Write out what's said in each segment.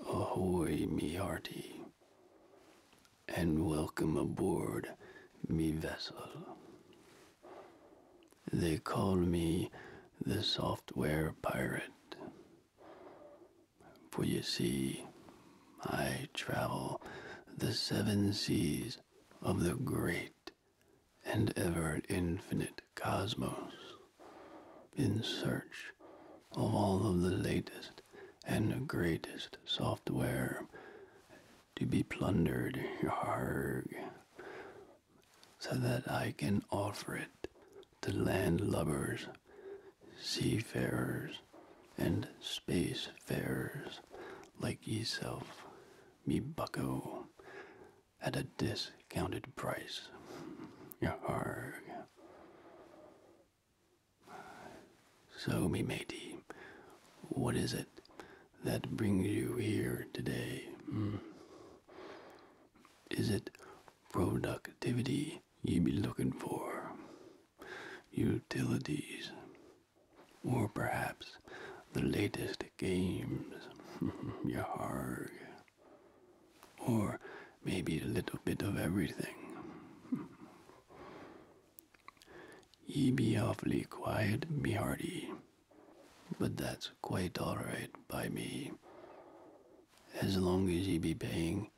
Ahoy, me hearty, and welcome aboard me vessel. They call me the software pirate, for you see, I travel the seven seas of the great and ever infinite cosmos in search of all of the latest and greatest software to be plundered so that I can offer it to landlubbers, seafarers, and spacefarers like yourself, me bucko, at a discounted price. Yarg. So, me matey, what is it that brings you here today? Hmm. Is it productivity you be looking for? Utilities? Or perhaps the latest games? Yarg or maybe a little bit of everything. Ye be awfully quiet and hearty, but that's quite all right by me. As long as ye be paying,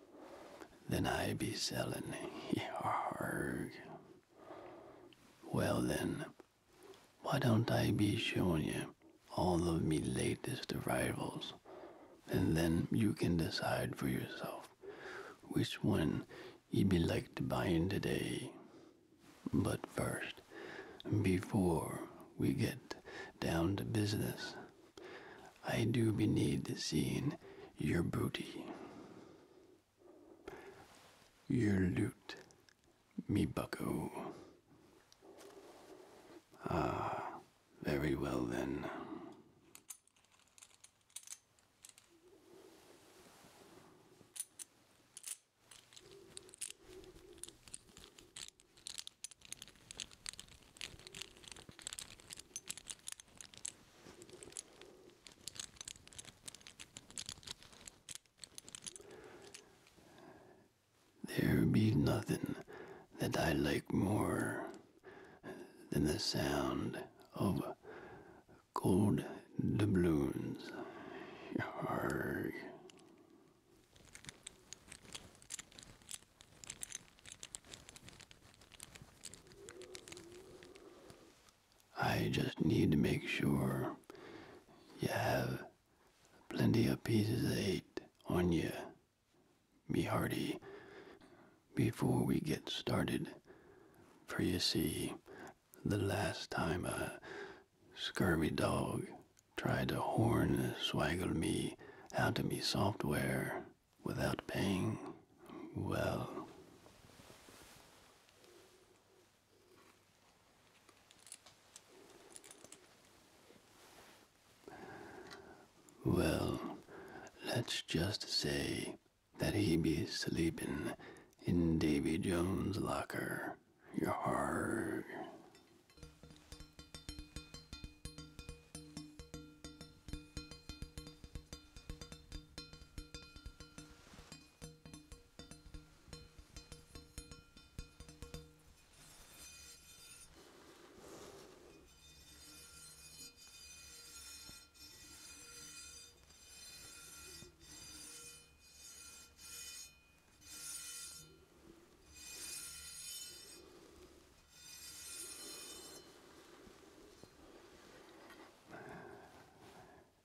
then I be selling. Yarg. Well then, why don't I be showing you all of me latest arrivals, and then you can decide for yourself which one you'd be like to buy in today. But first, before we get down to business, I do be need seeing your booty. Your loot, me bucko. Ah, very well then. There be nothing that I like more than the sound of gold doubloons. Arrgh. I just need to make sure you have plenty of pieces of eight on you be hearty before we get started, for you see, the last time a scurvy dog tried to horn swaggle me out of me software without paying, well, well, let's just say that he be sleeping in Davy Jones' locker. your heart.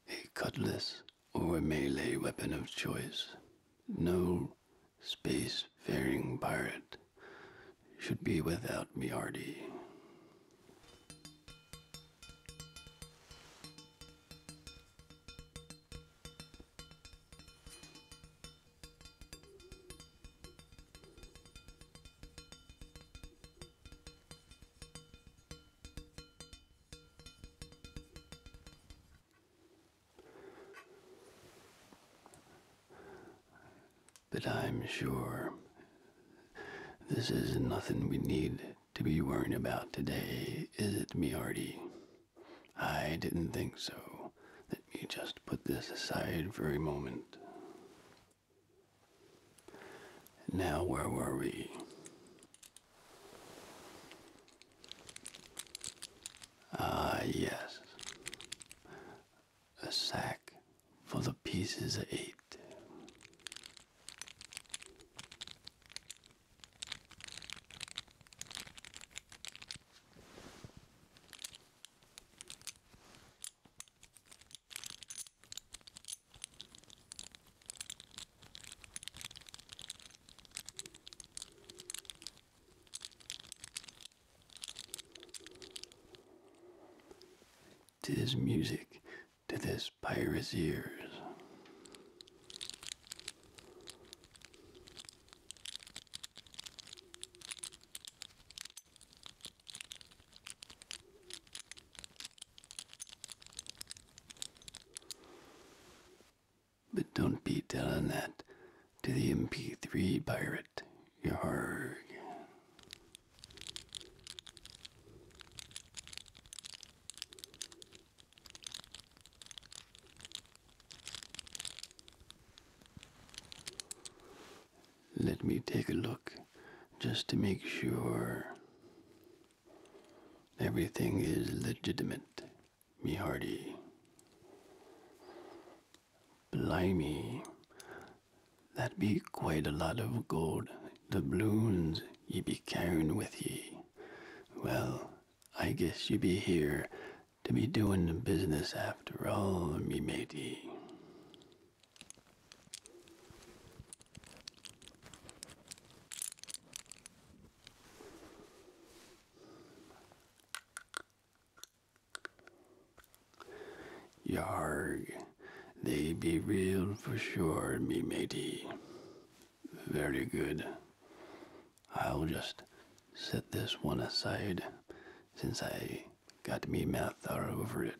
A cutlass or a melee weapon of choice. No space-faring pirate should be without Miardi. But I'm sure this is nothing we need to be worrying about today, is it, me hearty? I didn't think so. Let me just put this aside for a moment. Now, where were we? Ah, yes a sack for the pieces of eight. Tis music, to this pirate's ears. But don't be telling that to the MP3 pirate. Yarg. Let me take a look just to make sure everything is legitimate, me hearty. Blimey, that be quite a lot of gold doubloons ye be carrying with ye. Well, I guess ye be here to be doing business after all, me matey. Yarg, they be real for sure, me matey. Very good. I'll just set this one aside since I got me math all over it.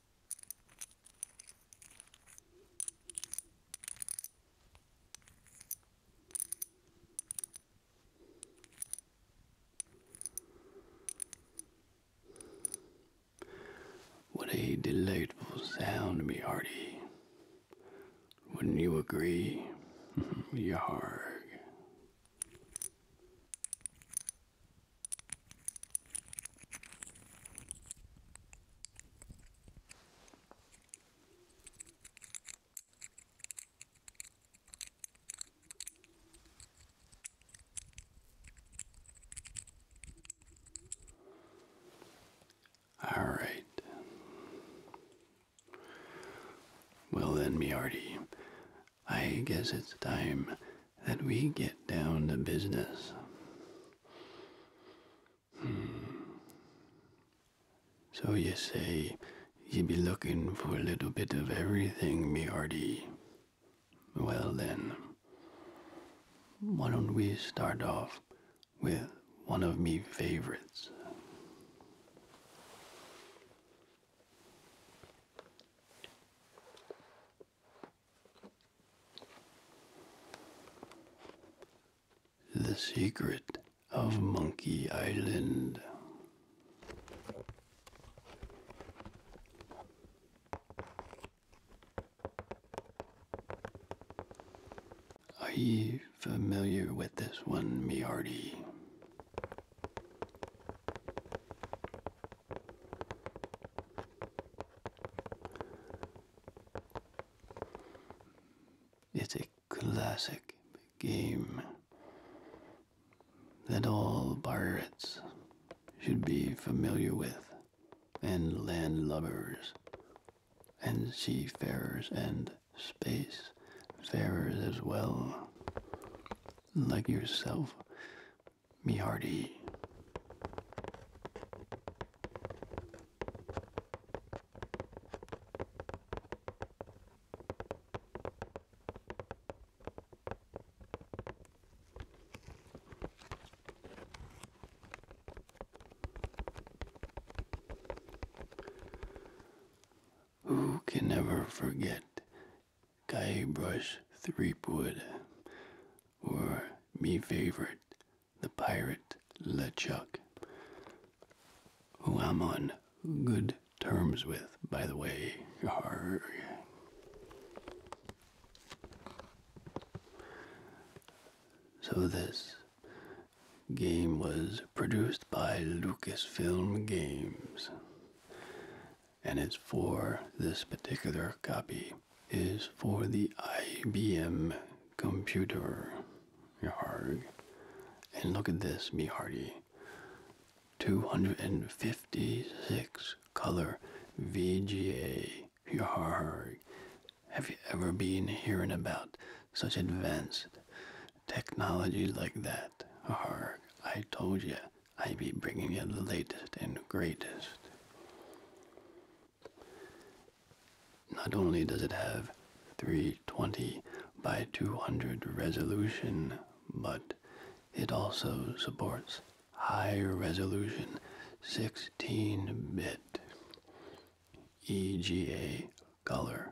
What a delightful sound, me hearty. Wouldn't you agree? Yarg. All right. Well, then, Miarty, I guess it's time that we get down to business. Hmm. So you say you be looking for a little bit of everything, me Well then, why don't we start off with one of me favorites? The Secret of Monkey Island. Are ye familiar with this one, me it's a classic game that all pirates should be familiar with, and landlubbers, and seafarers, and space farers as well, like yourself, me hearty. Who can ever forget guy brush threepwood or me favorite the pirate LeChuck who I'm on good terms with by the way So this game was produced by Lucasfilm Games and it's for this particular copy is for the IBM computer. Yarg. And look at this, me Hardy. 256 color VGA. Yarg. Have you ever been hearing about such advanced technology like that? Yarg. I told you I will be bringing you the latest and greatest. Not only does it have 320 by 200 resolution, but it also supports high resolution 16-bit EGA color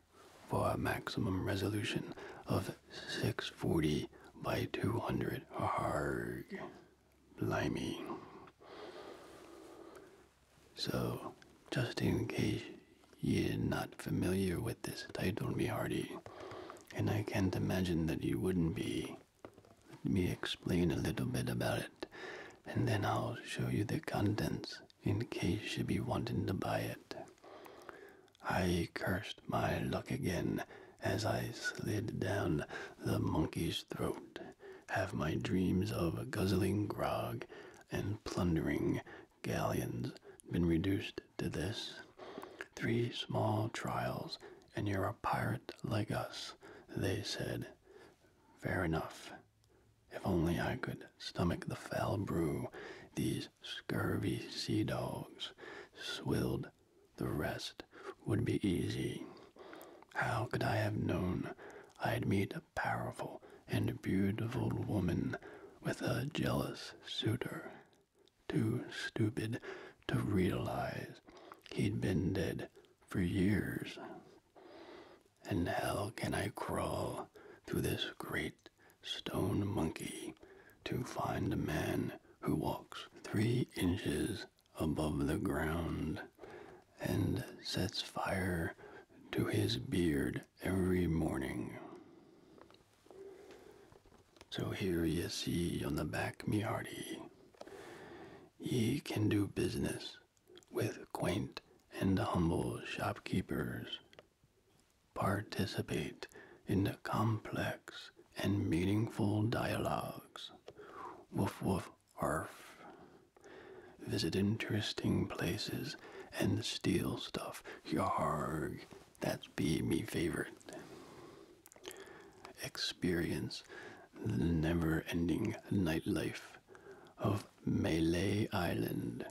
for a maximum resolution of 640 by 200. Arrgh blimey. So, just in case you're not familiar with this title, me hearty, and I can't imagine that you wouldn't be, let me explain a little bit about it, and then I'll show you the contents in case you be wanting to buy it. I cursed my luck again as I slid down the monkey's throat, have my dreams of guzzling grog and plundering galleons been reduced to this? Three small trials, and you're a pirate like us, they said. Fair enough. If only I could stomach the foul brew, these scurvy sea dogs swilled the rest would be easy. How could I have known I'd meet a powerful and beautiful woman with a jealous suitor? Too stupid to realize he'd been dead for years. And how can I crawl through this great stone monkey to find a man who walks three inches above the ground, and sets fire to his beard every morning. So here ye see on the back me hearty, ye can do business with quaint and humble shopkeepers, participate in the complex and meaningful dialogues Woof woof arf. Visit interesting places and steal stuff. Yarg. That's be me favorite. Experience the never ending nightlife of Malay Island.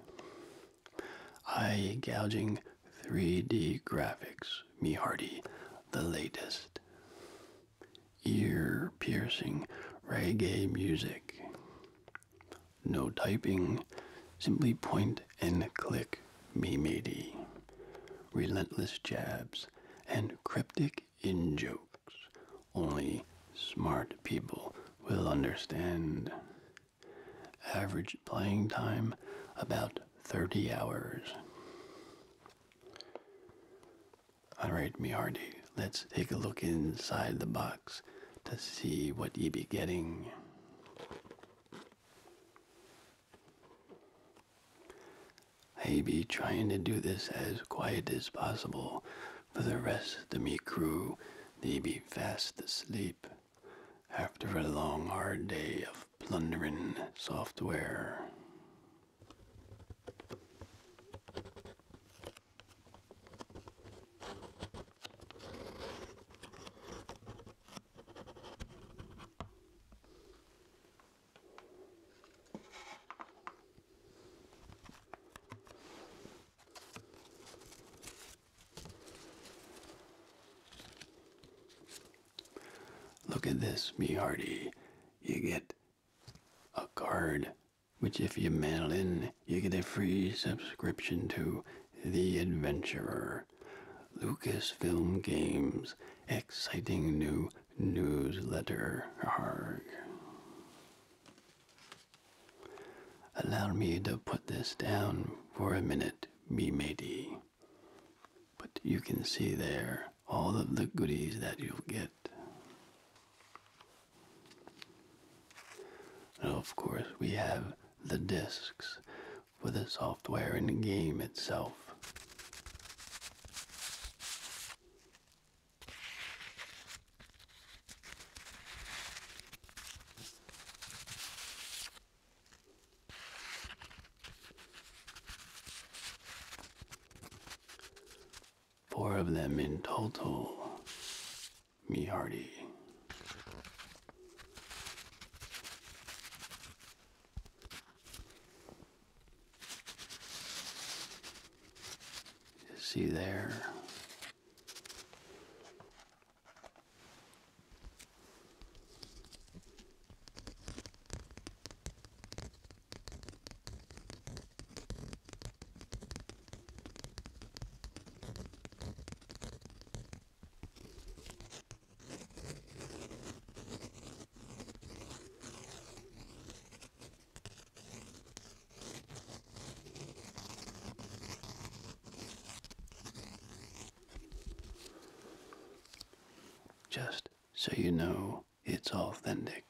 Eye gouging 3D graphics. Me hearty, the latest ear piercing reggae music. No typing, simply point and click mimedy. Relentless jabs and cryptic in jokes. Only smart people will understand. Average playing time about 30 hours. Alright, me hearty, let's take a look inside the box to see what ye be getting. I be trying to do this as quiet as possible, for the rest of me crew, they be fast asleep after a long hard day of plundering software. Look at this, me hearty. You get a card, which, if you mail in, you get a free subscription to The Adventurer. Lucasfilm Games, exciting new newsletter. Arg. Allow me to put this down for a minute, me matey. But you can see there all of the goodies that you'll get. of course, we have the discs for the software and the game itself. Four of them in total, me hearty. see there. Just so you know, it's authentic.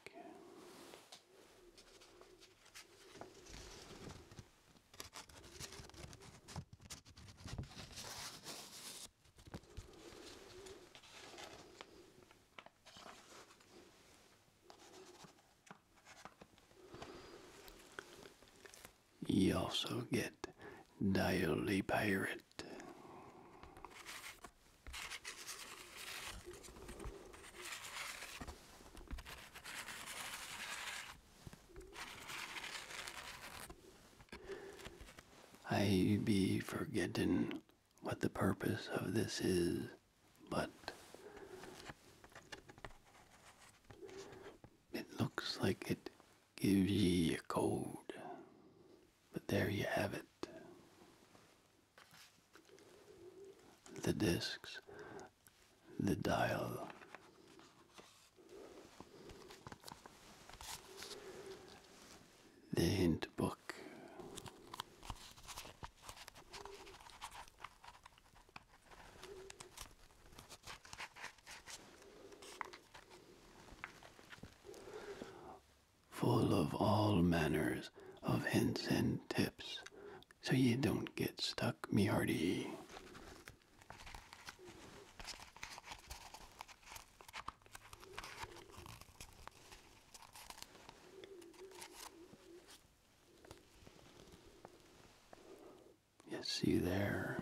You also get Daily Pirate I be forgetting what the purpose of this is, but it looks like it gives ye a code. But there you have it the discs, the dial. The hint book full of all manners of hints and tips, so you don't get stuck, me hearty. see there.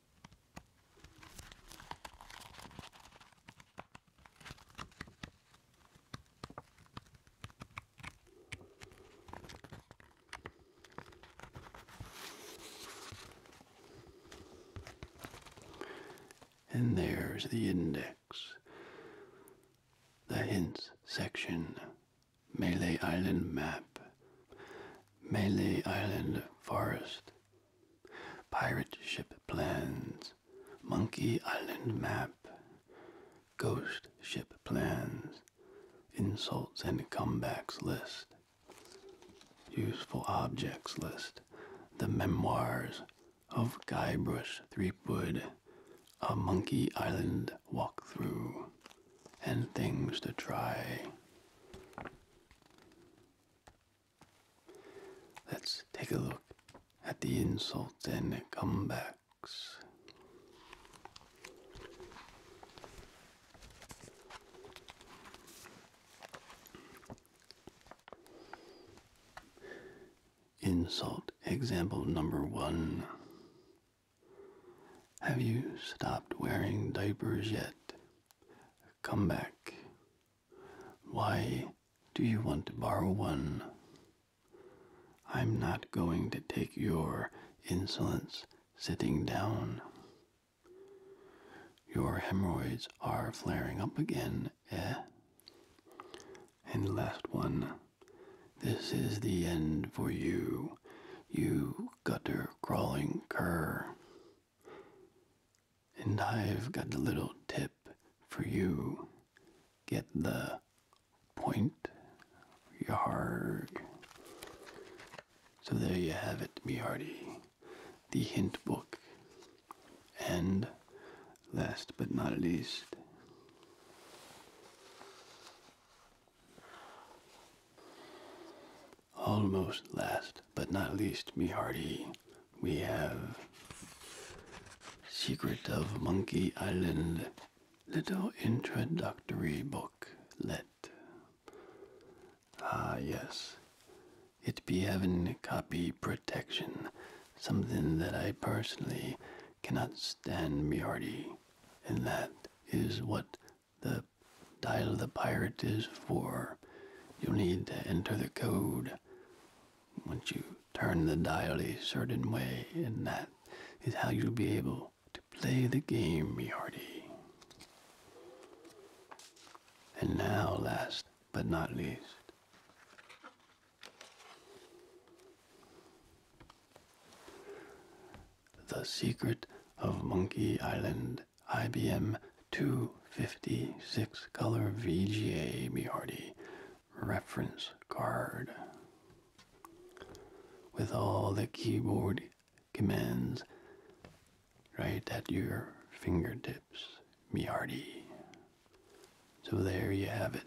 And there's the index. The hints section. Melee Island map. Melee Island forest pirate ship plans, monkey island map, ghost ship plans, insults and comebacks list, useful objects list, the memoirs of Guybrush Threepwood, a monkey island walkthrough, and things to try. Let's take a look at the insults and comebacks. Insult example number one. Have you stopped wearing diapers yet? Come back. Why do you want to borrow one? I'm not going to take your insolence sitting down. Your hemorrhoids are flaring up again, eh? And last one. This is the end for you, you gutter crawling cur. And I've got a little tip for you. Get the point. Yarg. So there you have it, me hearty. The hint book. And last but not least, almost last but not least, me hearty, we have Secret of Monkey Island, little introductory booklet. Ah, yes. It be having copy protection, something that I personally cannot stand, me hearty, and that is what the Dial the Pirate is for you'll need to enter the code once you turn the dial a certain way, and that is how you'll be able to play the game, Miarty. And now, last but not least, the secret of Monkey Island IBM 256 color VGA BRD reference card with all the keyboard commands right at your fingertips. BRD. So there you have it.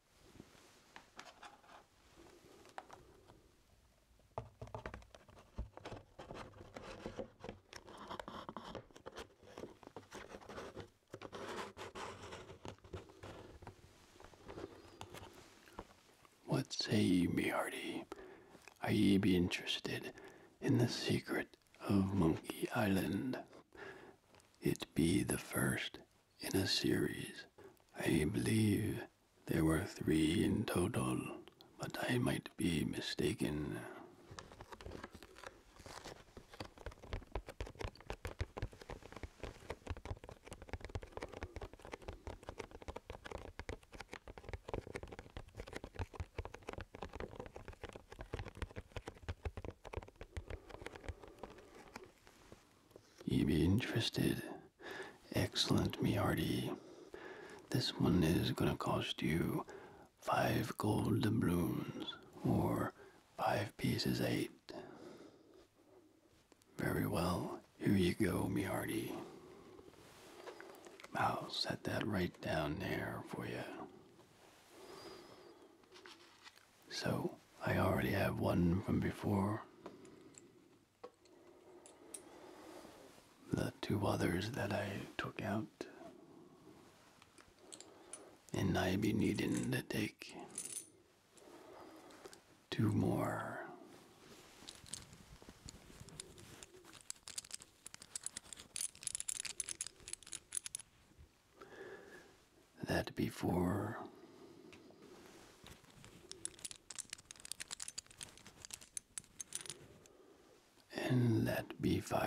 What say ye, Beardy? Are ye be interested in the secret of Monkey Island? It be the first in a series. I believe there were three in total, but I might be mistaken. You be interested. Excellent, me hearty. This one is gonna cost you five gold doubloons, or five pieces eight. Very well, here you go, me hearty. I'll set that right down there for you. So, I already have one from before. The two others that I took out. And I be needing to take two more. That would be four and let b5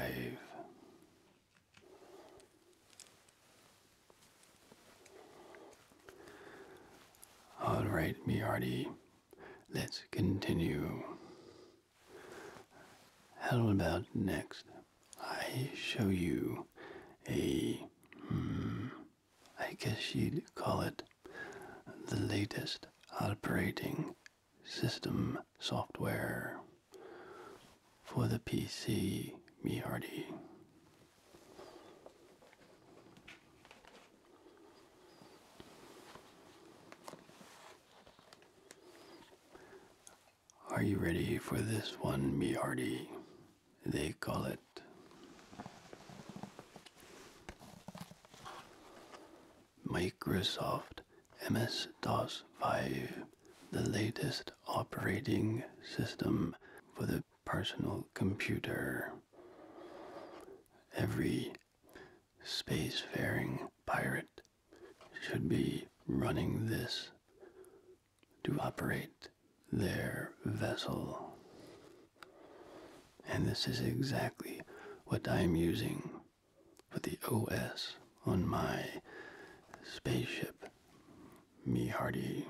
all right brd let's continue how about next i show you a hmm, I guess you'd call it the latest operating system software for the PC, me Are you ready for this one, me they call it. Microsoft MS-DOS 5, the latest operating system for the personal computer. Every spacefaring pirate should be running this to operate their vessel. And this is exactly what I'm using for the OS on my spaceship, me Hardy.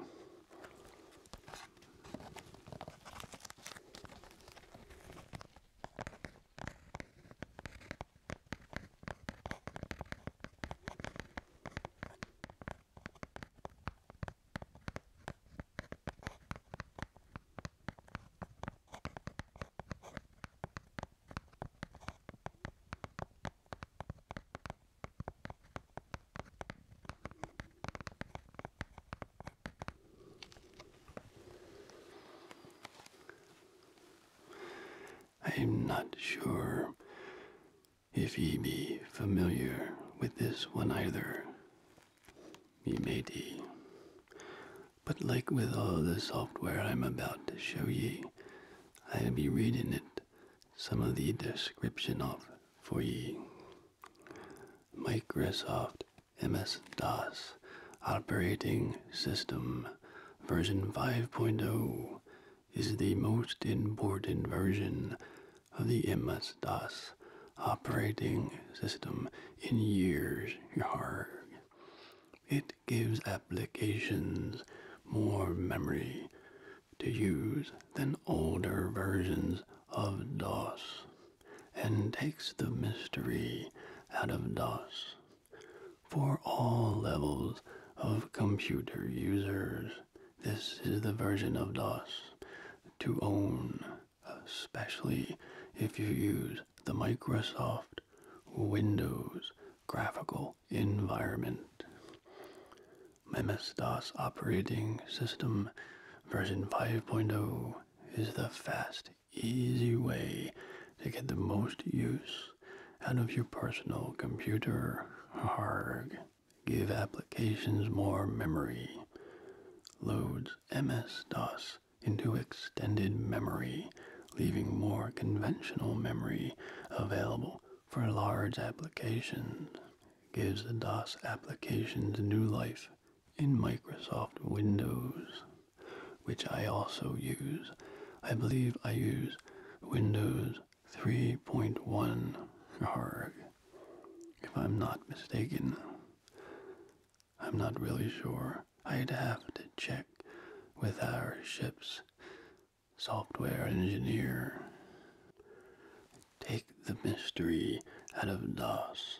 I'm not sure if ye be familiar with this one either, ye may be. But like with all the software I'm about to show ye, I'll be reading it some of the description of for ye. Microsoft MS-DOS operating system version 5.0 is the most important version of the MS-DOS operating system in years. It gives applications more memory to use than older versions of DOS and takes the mystery out of DOS. For all levels of computer users, this is the version of DOS to own, especially if you use the Microsoft Windows graphical environment. MS-DOS operating system version 5.0 is the fast, easy way to get the most use out of your personal computer. Harg give applications more memory, loads MS-DOS into extended memory, leaving more conventional memory available for large applications, gives the DOS applications new life in Microsoft Windows, which I also use. I believe I use Windows 3.1 ARG. If I'm not mistaken, I'm not really sure. I'd have to check with our ship's software engineer. Take the mystery out of DOS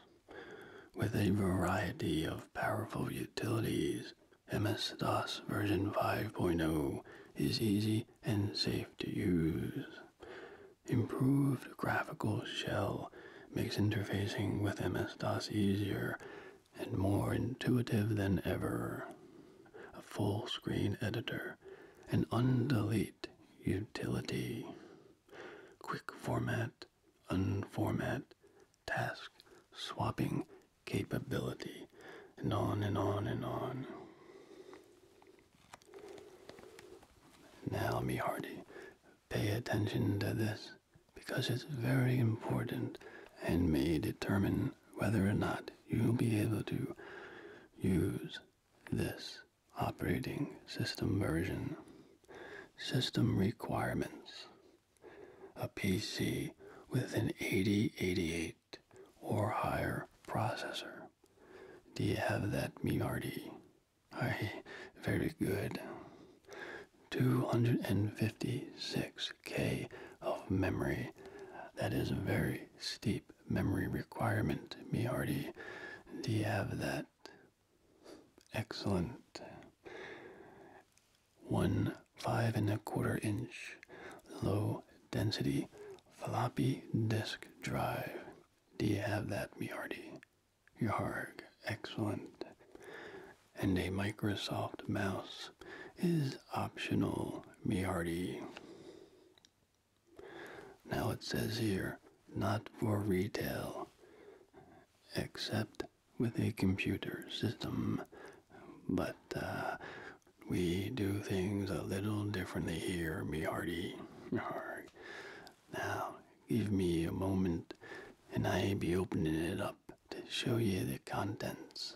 with a variety of powerful utilities. MS DOS version 5.0 is easy and safe to use. Improved graphical shell makes interfacing with MS-DOS easier and more intuitive than ever. A full screen editor, an undelete utility, quick format, unformat, task swapping capability, and on and on and on. Now, me Hardy, pay attention to this because it's very important and may determine whether or not you'll be able to use this operating system version. System requirements. A PC with an 8088 or higher processor do you have that, me hearty? very good. 256k of memory. That is a very steep memory requirement, me Do you have that? Excellent. One five and a quarter inch low density floppy disk drive. Do you have that, Biardi? Yarg, excellent. And a Microsoft mouse is optional, Biardi. Now it says here, not for retail, except with a computer system. But uh, we do things a little differently here, Mihardi. Now, give me a moment and I'll be opening it up to show you the contents.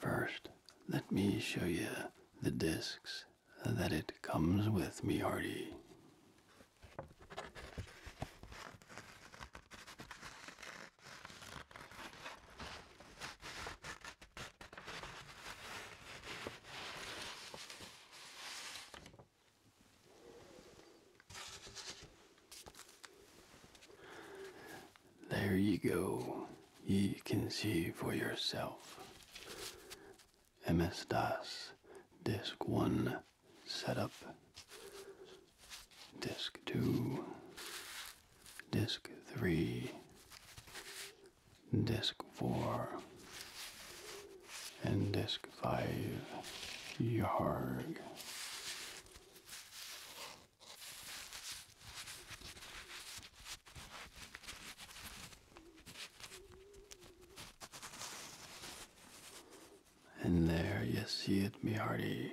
First, let me show you the discs that it comes with, me hearty. There you go. You can see for yourself. MS DOS Disk 1 Setup, Disk 2, Disk 3, Disk 4 and Disk 5. Yarg. And there you see it, me hearty.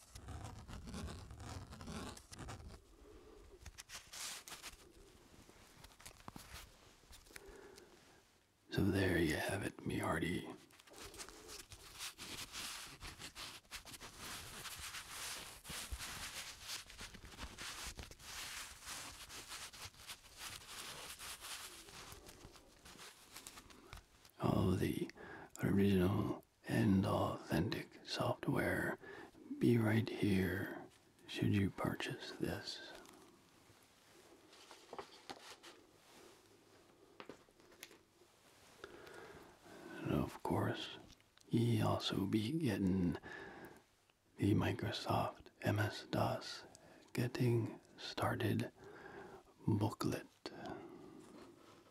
So there you have it, me hearty. All the original and authentic software be right here should you purchase this. of course, ye also be getting the Microsoft MS-DOS Getting Started booklet.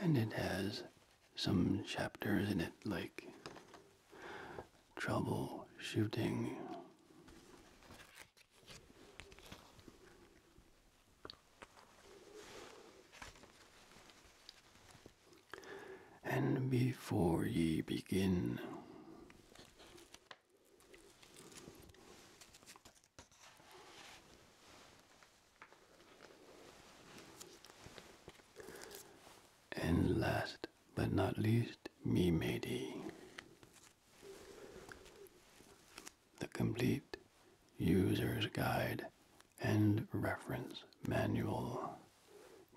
And it has some chapters in it like troubleshooting. And before ye begin, and last but not least, me matey, the complete user's guide and reference manual.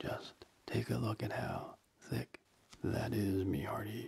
Just take a look at how thick that is, me hearty.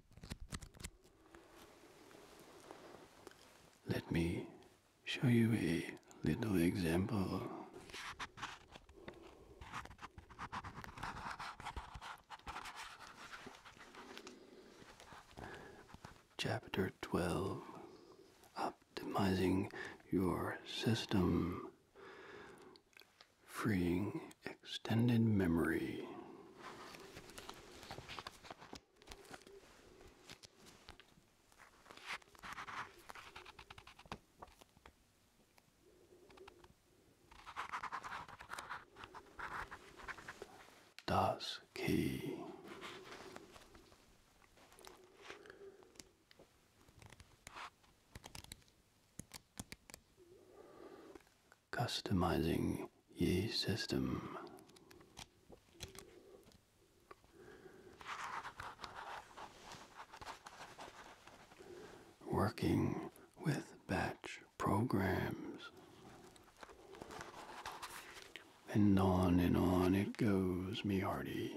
Let me show you a little example. Chapter 12 Optimizing Your System Freeing Extended Memory. Das key customizing Ye system. Working with batch programs. And on and on it goes, me hearty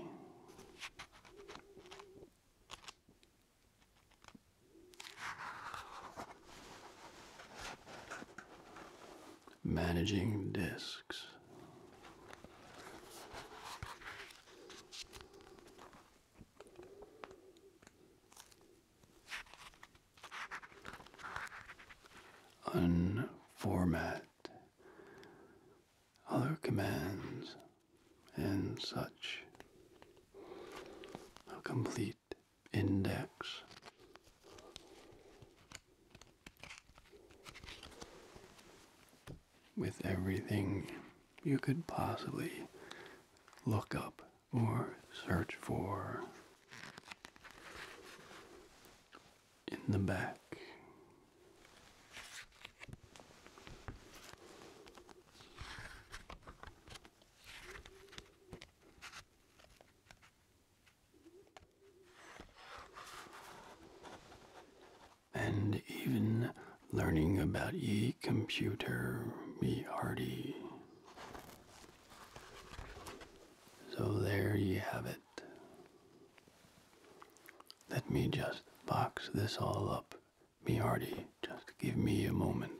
managing disks. Unformat other commands and such. complete index. With everything you could possibly look up or search for in the back and even learning about ye computer, me hearty. So there ye have it. Let me just box this all up, me hearty. Just give me a moment.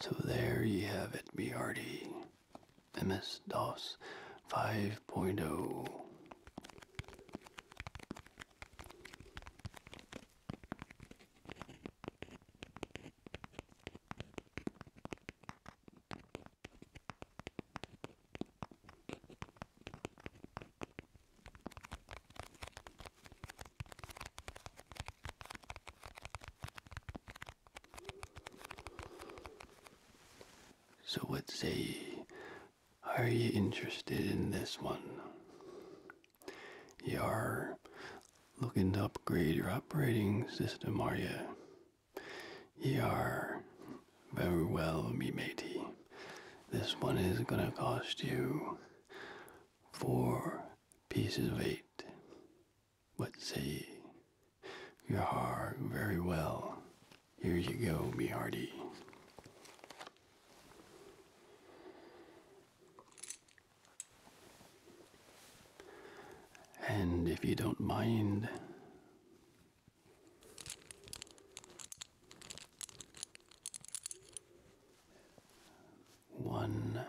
So there you have it, BRD. MS DOS 5.0. So, what say Are you interested in this one? You are looking to upgrade your operating system, are you? You are. Very well, me matey. This one is gonna cost you four pieces of eight. But see. You're Very well. Here you go, be hearty. And if you don't mind, one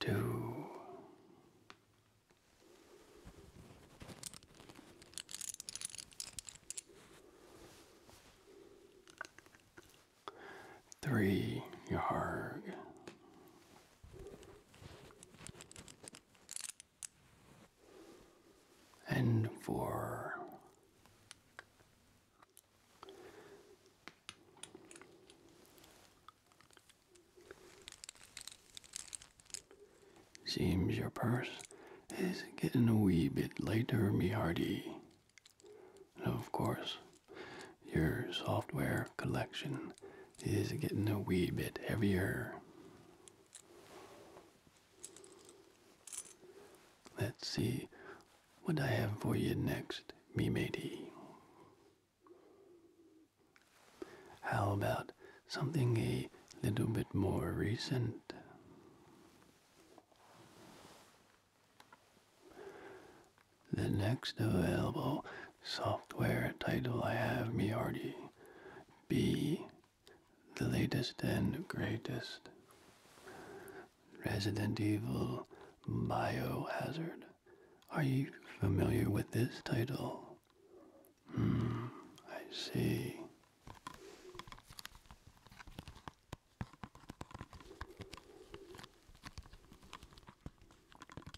Two. Three yarg and for Seems your purse is getting a wee bit lighter, me hearty. And of course, your software collection is getting a wee bit heavier. Let's see what I have for you next, me matey. How about something a little bit more recent? The next available software title I have Miyardi be the latest and greatest Resident Evil Biohazard. Are you familiar with this title? Hmm, I see.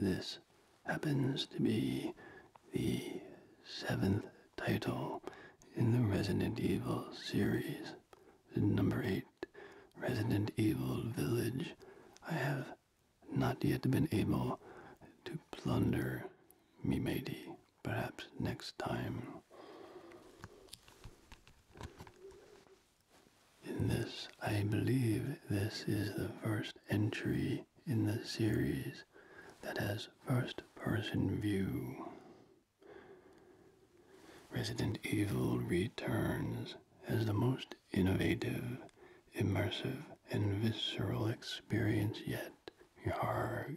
This happens to be the seventh title in the Resident Evil series. Number 8. Resident Evil Village. I have not yet been able to plunder me matey. Perhaps next time. In this, I believe this is the first entry in the series that has first person view. Resident Evil returns as the most innovative, immersive, and visceral experience yet. You are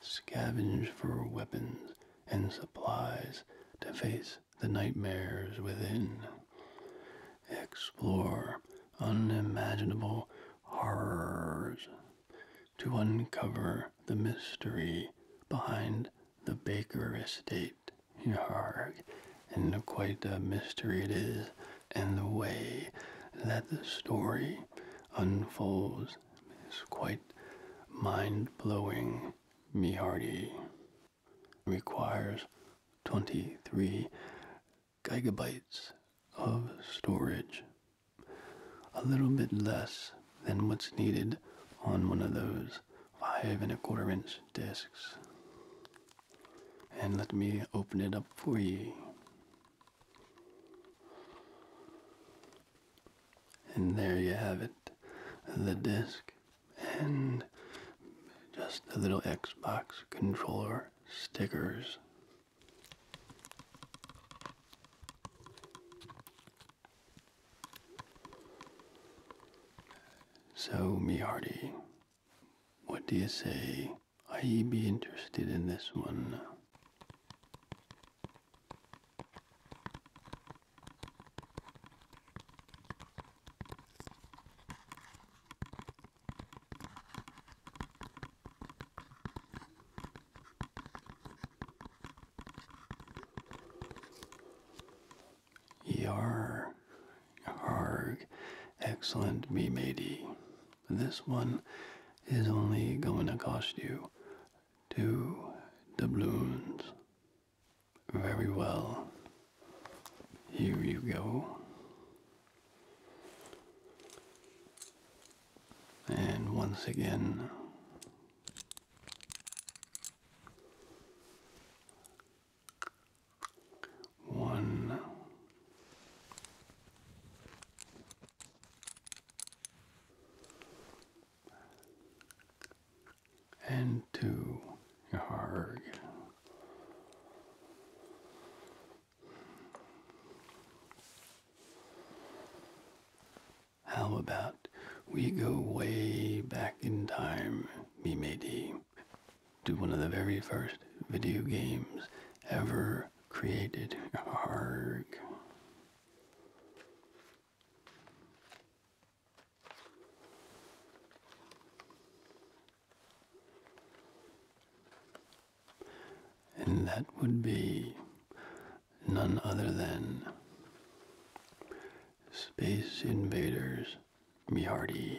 scavenge for weapons and supplies to face the nightmares within. Explore unimaginable horrors to uncover the mystery behind the Baker estate, Yarg, and quite a mystery it is, and the way that the story unfolds is quite mind-blowing. Me hearty requires 23 gigabytes of storage, a little bit less than what's needed on one of those five and a quarter inch discs. And let me open it up for you. And there you have it, the disc and just the little Xbox controller stickers. So, Miarty, what do you say? I be interested in this one. Yar, Harg, excellent me matey. This one is only going to cost you two doubloons. Very well. Here you go. And once again, one. And two, Yarg. How about we go way back in time, me matey, to one of the very first video games ever created? Arrgh. And that would be none other than Space Invaders Mihardi.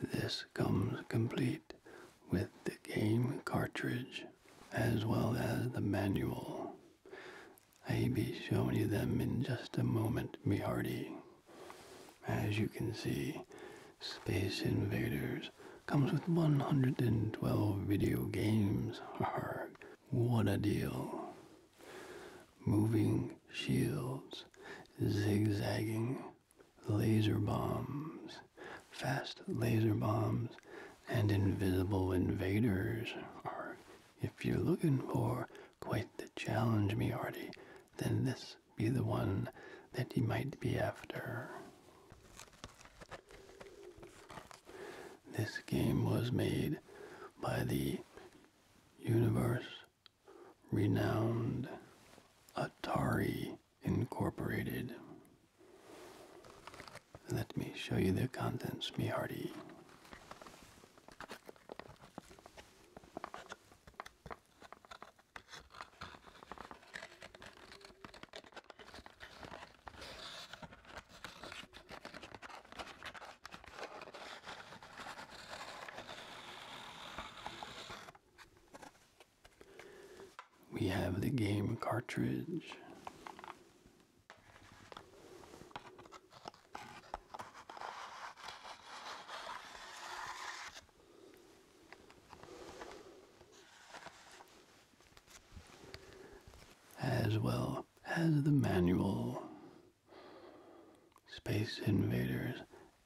This comes complete with the game cartridge as well as the manual. I'll be showing you them in just a moment, me As you can see, Space Invaders comes with 112 video games. what a deal moving shields, zigzagging laser bombs, fast laser bombs, and invisible invaders are, if you're looking for quite the challenge, me hearty, then this be the one that you might be after. This game was made by the Universe renowned Atari Incorporated. Let me show you the contents, me hearty. We have the game cartridge. As well as the manual Space Invaders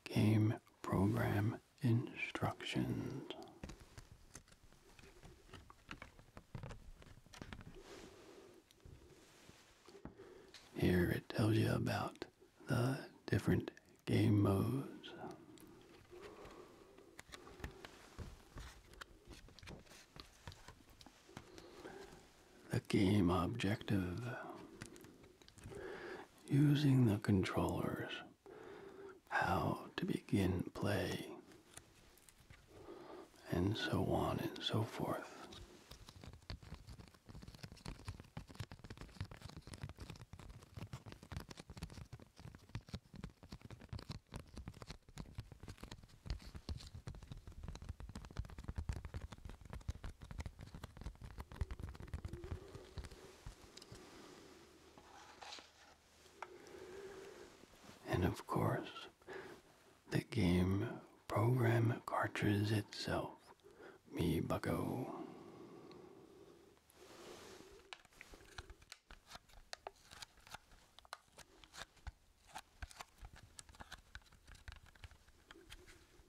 Game Program Instructions. Here it tells you about the different game modes the game objective. Using the controllers, how to begin play, and so on and so forth. And of course, the game program cartridge itself, me bucko.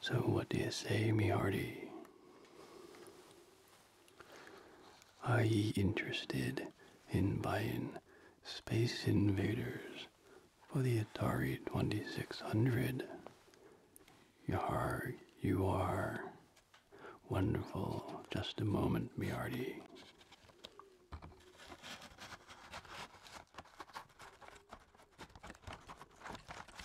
So, what do you say, me Are ye interested in buying Space Invaders for the Atari 2600? You are, you are. Wonderful. Just a moment, me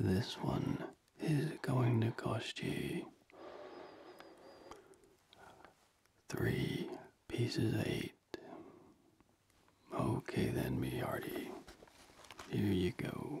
This one is going to cost you three pieces eight. Okay, then, me hearty. Here you go.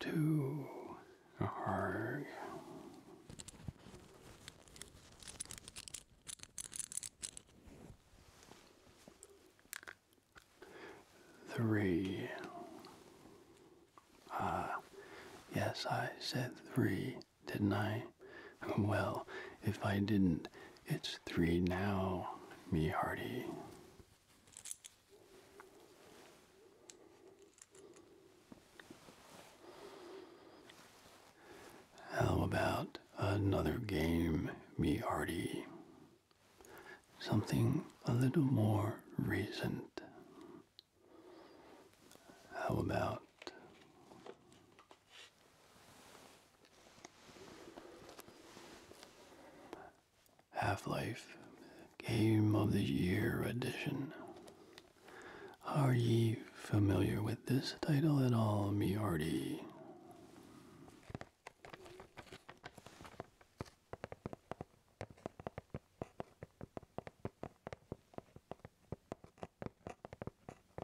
Two Three. Ah, yes, I said three, didn't I? Well, if I didn't, it's three now, me hearty. How about another game, me hearty? Something a little more recent. How about Half Life Game of the Year Edition. Are ye familiar with this title at all, me hearty?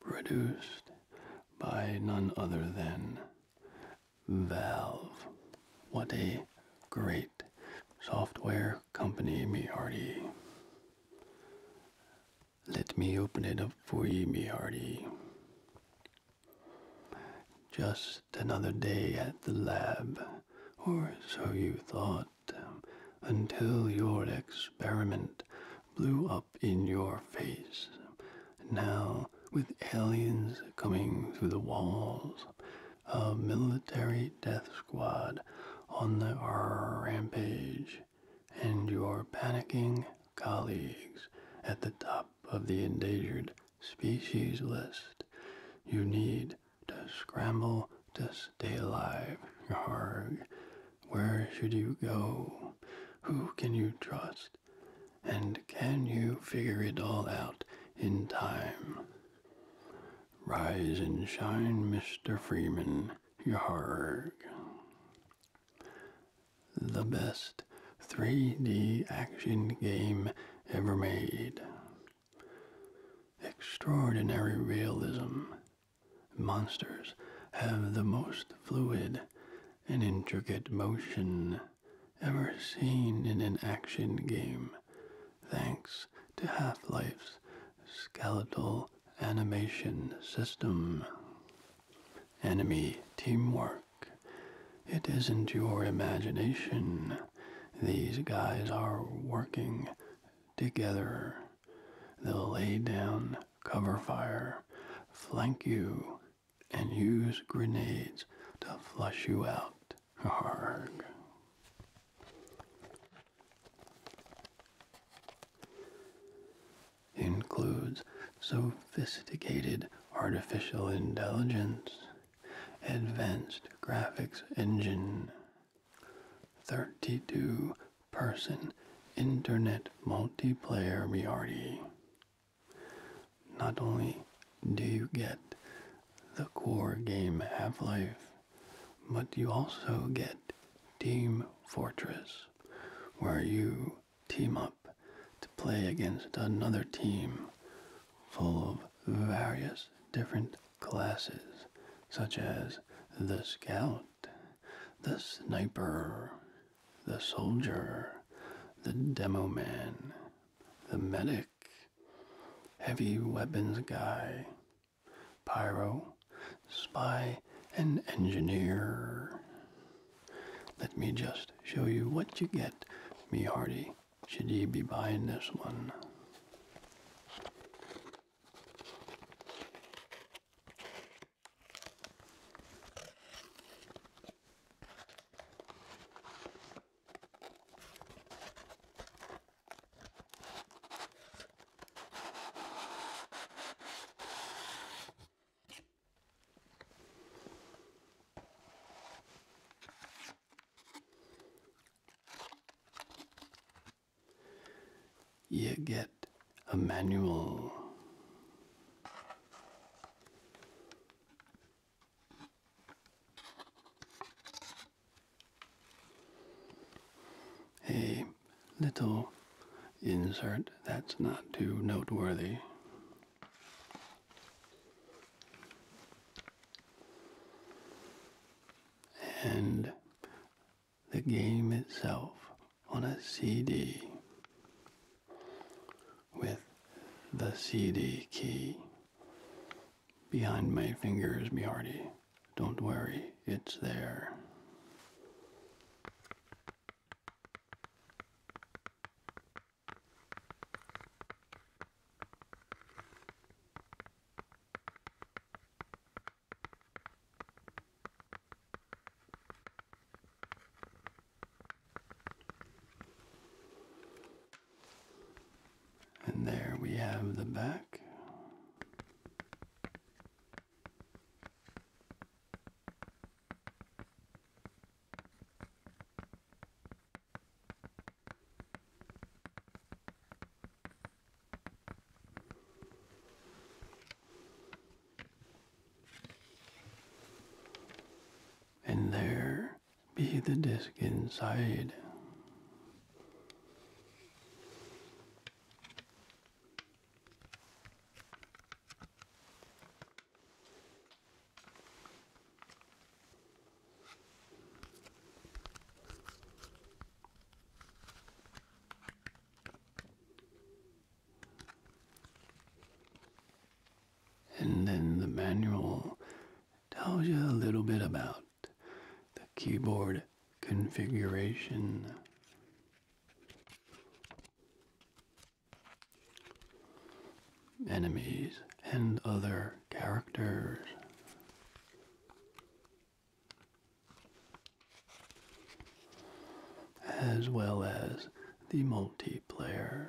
produced by none other than Valve. What a great software company, me Let me open it up for ye, me Just another day at the lab, or so you thought, until your experiment blew up in your face. Now, with aliens coming through the walls, a military death squad on the rampage, and your panicking colleagues at the top of the endangered species list. You need to scramble to stay alive, Yarg. Where should you go? Who can you trust? And can you figure it all out in time? Rise and shine, Mr. Freeman. Yarg. The best 3D action game ever made. Extraordinary realism. Monsters have the most fluid an intricate motion ever seen in an action game, thanks to Half Life's skeletal animation system. Enemy teamwork. It isn't your imagination. These guys are working together. They'll lay down cover fire, flank you, and use grenades to flush you out. Arrgh. Includes sophisticated artificial intelligence, advanced graphics engine, 32 person internet multiplayer reality, not only do you get the core game Half-Life, but you also get Team Fortress, where you team up to play against another team full of various different classes, such as the Scout, the Sniper, the soldier, the demo man, the medic, heavy weapons guy, pyro, spy, and engineer. Let me just show you what you get, me Hardy. should ye be buying this one. You get a manual a little insert that's not too noteworthy. And the game itself on a CD with the CD key behind my fingers, be hearty. Don't worry, it's there. And there we have the back and there be the disc inside. And then the manual tells you a little bit about the keyboard configuration. Enemies and other characters. As well as the multiplayer.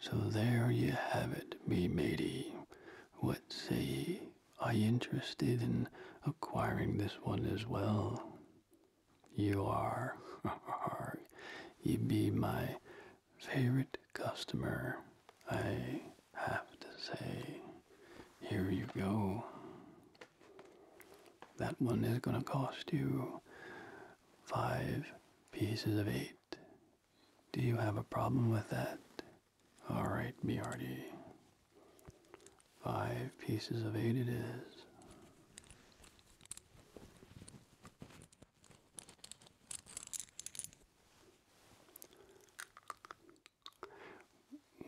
So there you have it, me matey. What say ye? Are you interested in acquiring this one as well? You are. you be my favorite customer, I have to say. Here you go. That one is going to cost you five pieces of eight. Do you have a problem with that? All right, BRD. Five pieces of eight it is.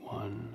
One,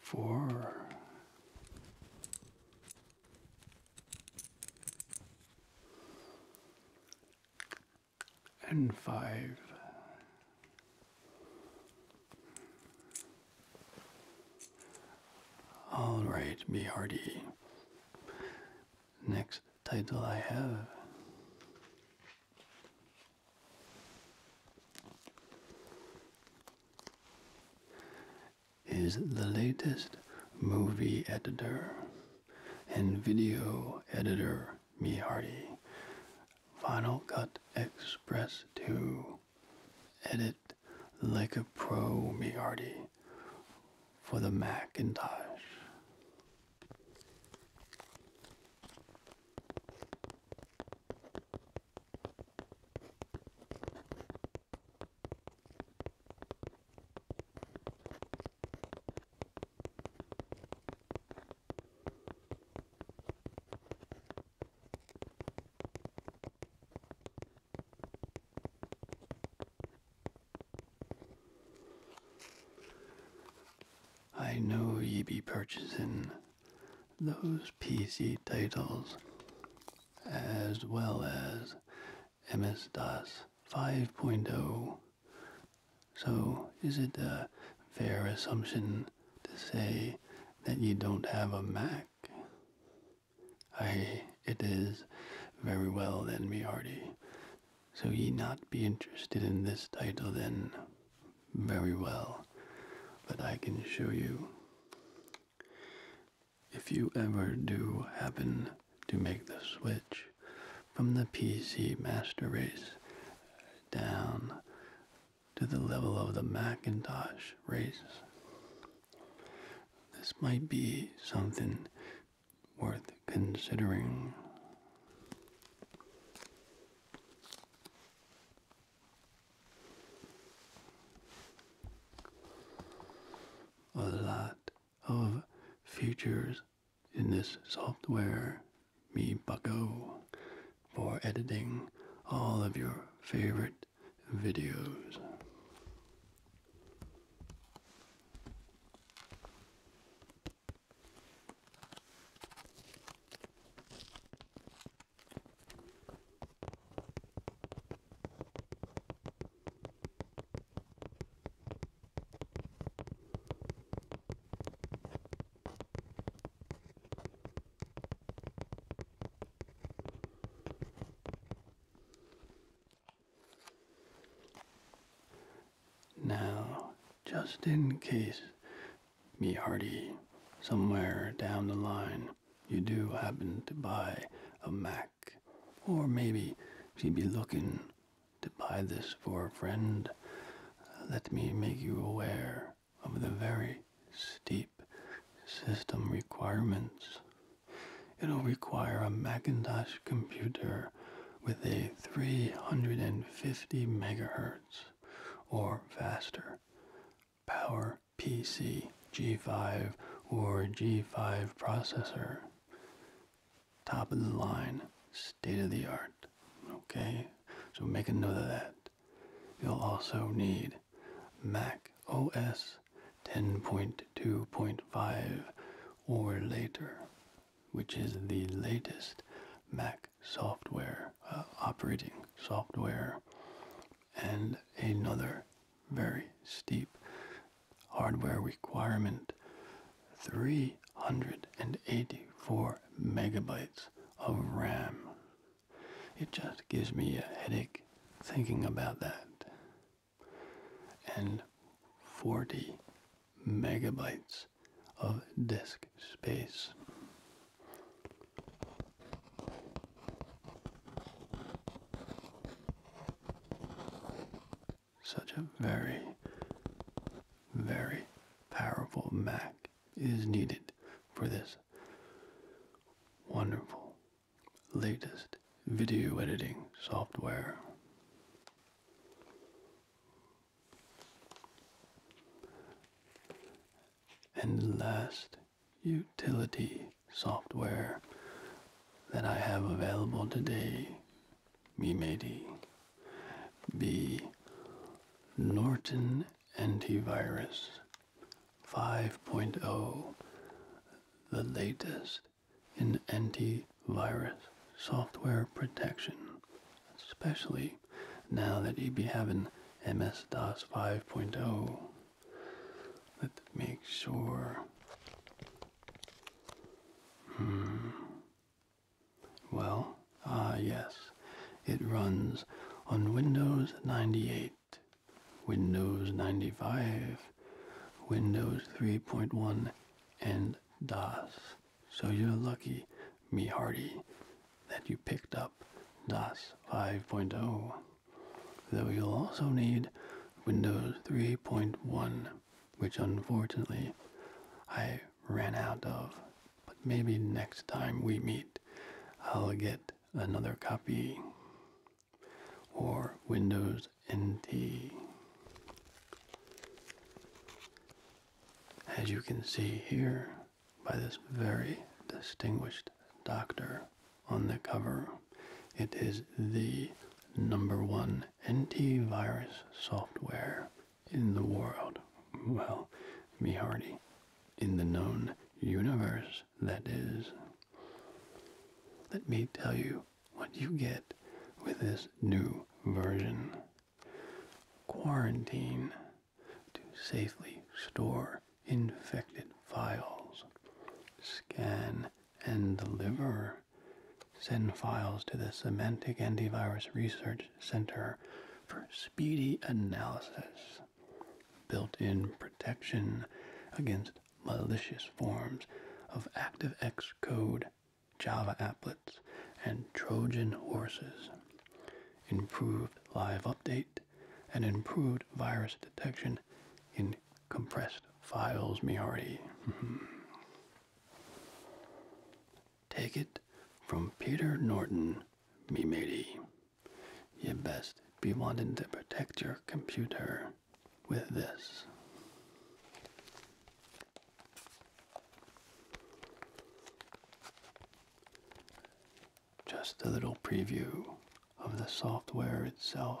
four, and five. All right, be hearty. Next title I have is the latest movie editor and video editor Mihardi Final Cut Express to Edit like a pro Mihardi for the Macintosh. I know ye be purchasing those PC titles as well as MS DOS 5.0. So, is it a fair assumption to say that you don't have a Mac? Aye, it is. Very well then, me hearty. So ye not be interested in this title then? Very well. But I can show you if you ever do happen to make the switch from the PC Master Race down to the level of the Macintosh race, this might be something worth considering. A lot of features in this software, MeBucko, for editing all of your favorite videos. Now, just in case me Hardy somewhere down the line you do happen to buy a Mac, or maybe she'd be looking to buy this for a friend, let me make you aware of the very steep system requirements. It'll require a Macintosh computer with a 350 megahertz or faster power PC G5 or G5 processor. Top of the line, state of the art. Okay, so make a note of that. You'll also need Mac OS 10.2.5 or later, which is the latest Mac software, uh, operating software, and another very steep hardware requirement 384 megabytes of RAM. It just gives me a headache thinking about that. And 40 megabytes of disk space. Such a very, very powerful Mac is needed for this wonderful latest video editing software. And last utility software that I have available today be Medi, be Norton Antivirus 5.0, the latest in antivirus software protection, especially now that you be having MS DOS 5.0 Let's make sure. Hmm. Well, ah, yes. It runs on Windows 98, Windows 95, Windows 3.1, and DOS. So you're lucky, me hearty, that you picked up DOS 5.0 though you'll also need Windows 3.1, which unfortunately I ran out of. But maybe next time we meet, I'll get another copy or Windows NT. As you can see here by this very distinguished doctor, on the cover. It is the number one antivirus software in the world. Well, me hardy. In the known universe, that is. Let me tell you what you get with this new version. Quarantine to safely store infected files. Scan and deliver. Send files to the Semantic Antivirus Research Center for speedy analysis. Built in protection against malicious forms of ActiveX code, Java applets, and Trojan horses. Improved live update and improved virus detection in compressed files, Miori. Mm-hmm. Take it from Peter Norton, me matey. You best be wanting to protect your computer with this just a little preview of the software itself.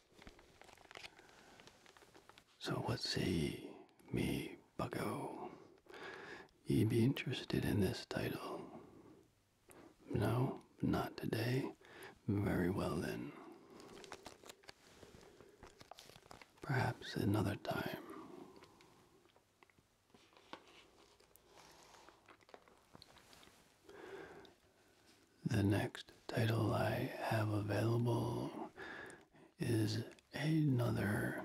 So let's see, me bucko. Ye be interested in this title? No, not today. Very well then. Perhaps another time. The next title I have available is another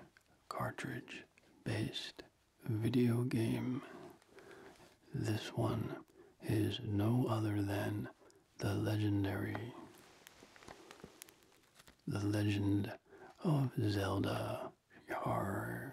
cartridge based video game. This one is no other than the legendary The Legend of Zelda Yarg.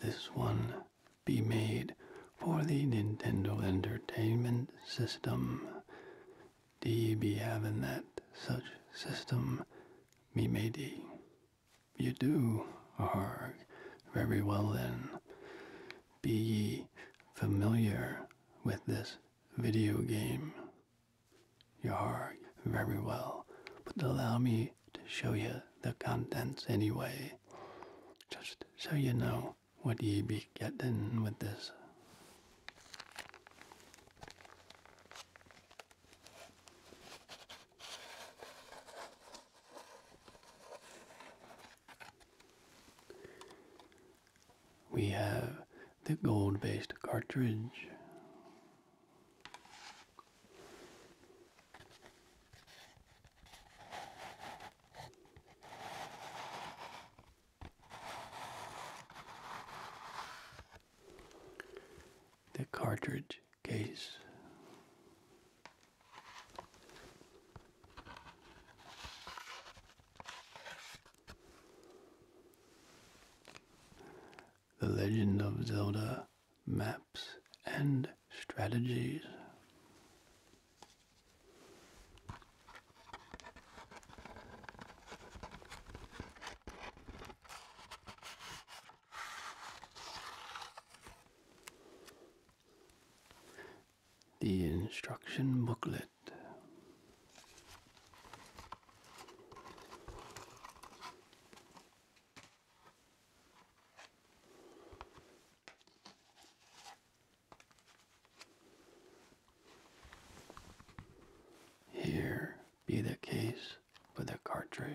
This one be made for the Nintendo Entertainment System. Do D be having that such system, me matey. You do, arg. Very well then. Be ye familiar with this video game. You are very well, but allow me to show you the contents anyway, just so you know what ye be getting with this we have the gold based cartridge. The cartridge case. The Legend of Zelda Maps and Strategies. The instruction booklet here be the case for the cartridge.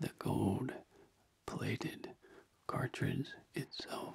the gold plated cartridge itself.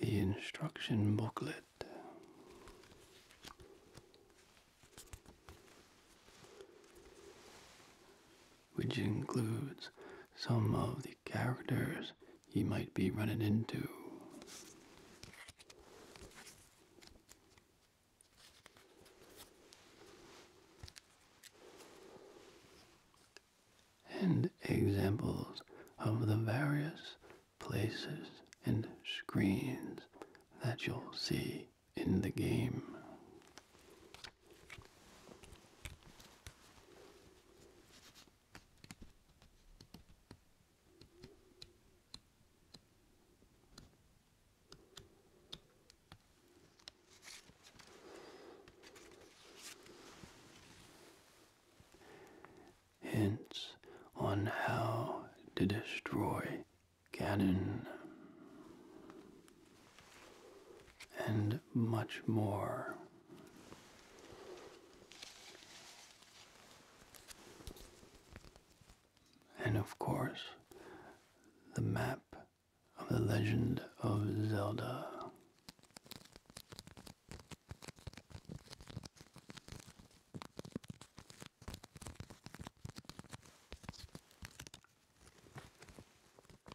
The instruction booklet which includes some of the characters you might be running into. And examples of the various places and screens that you'll see in the game. Hints on how to destroy cannon and much more. And of course, the map of the Legend of Zelda.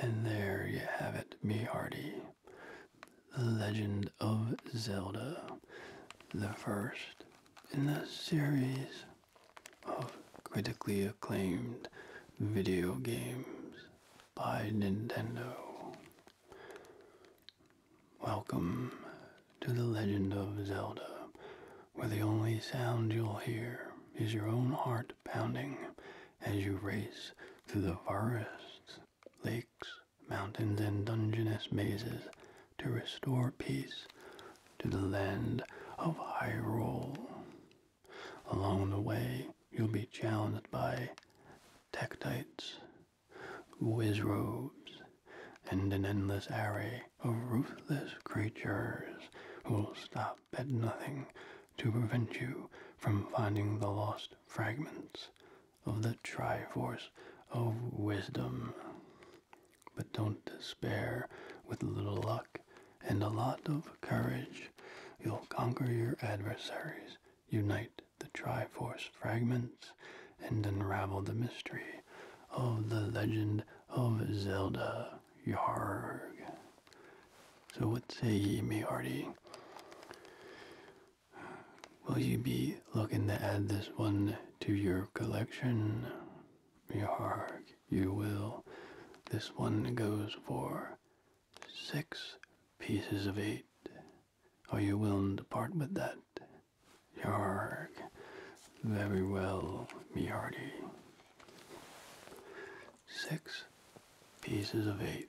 And there you have it, me hearty. The Legend of Zelda, the first in the series of critically acclaimed video games by Nintendo. Welcome to The Legend of Zelda, where the only sound you'll hear is your own heart pounding as you race through the forests lakes, mountains, and dungeonous mazes to restore peace to the land of Hyrule. Along the way, you'll be challenged by Tektites, Wizrobes, and an endless array of ruthless creatures who will stop at nothing to prevent you from finding the lost fragments of the Triforce of Wisdom. But don't despair. With a little luck and a lot of courage, you'll conquer your adversaries, unite the Triforce fragments, and unravel the mystery of the legend of Zelda. Yarg. So what say ye, me hearty? Will you be looking to add this one to your collection? Yarg, you will. This one goes for six pieces of eight. Are you willing to part with that? Yarg. Very well, me hearty. Six pieces of eight.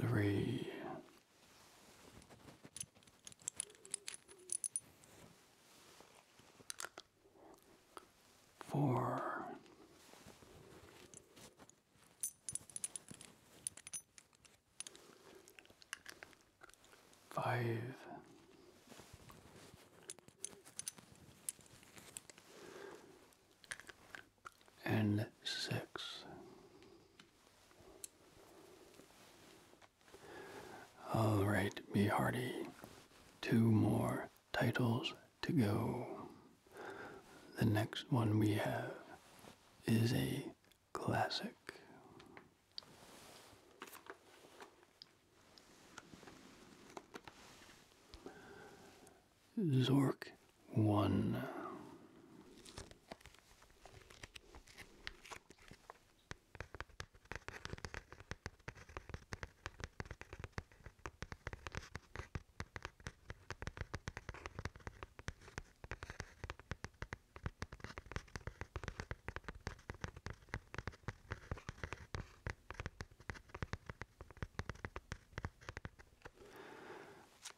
Three, four, five and six. All right, be hearty. Two more titles to go. The next one we have is a classic. Zork 1.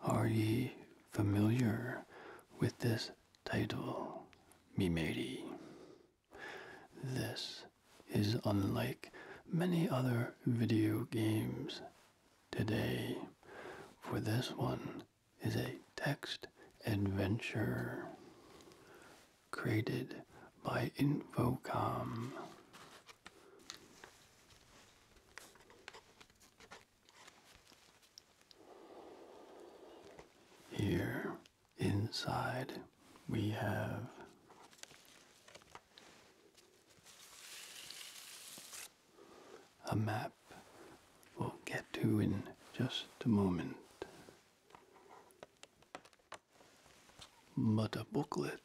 Are ye familiar with this title, me matey? This is unlike many other video games today, for this one is a text adventure created by Infocom. Here inside, we have a map we'll get to in just a moment, but a booklet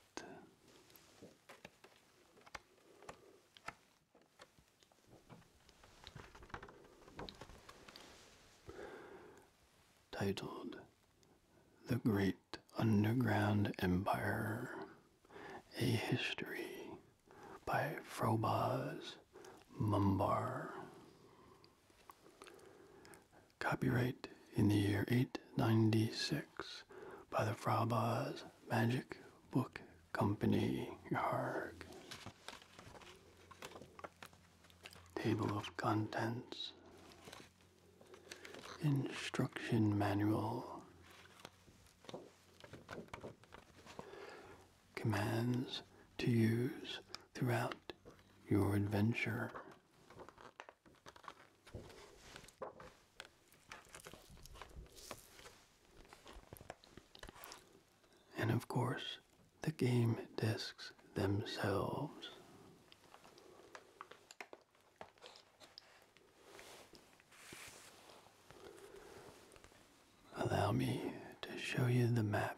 titled The Great Underground Empire A History by Frobas Mumbar. Copyright in the year 896 by the Frobas. Magic Book Company. Yarg. Table of Contents. Instruction Manual. Commands to use throughout your adventure. And of course, the game discs themselves. Allow me to show you the map.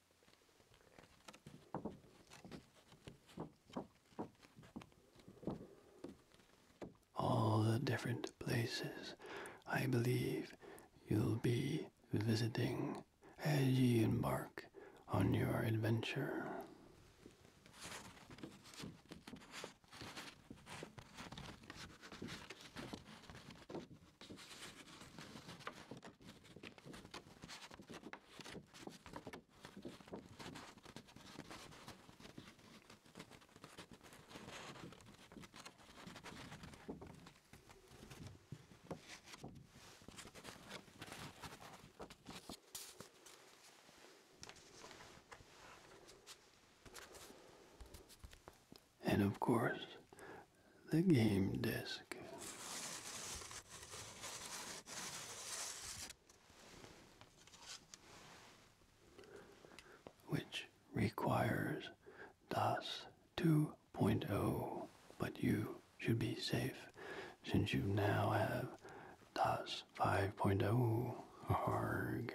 All the different places I believe you'll be visiting as you embark on your adventure. And of course, the game disc. Which requires DOS 2.0, but you should be safe since you now have DOS 5.0. Arg.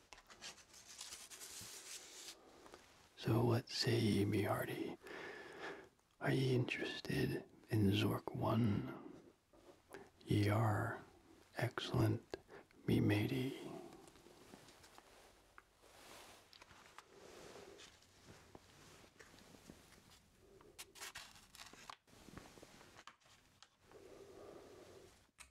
So what say ye, me hearty? Are ye interested in Zork One? Ye are excellent, me matey.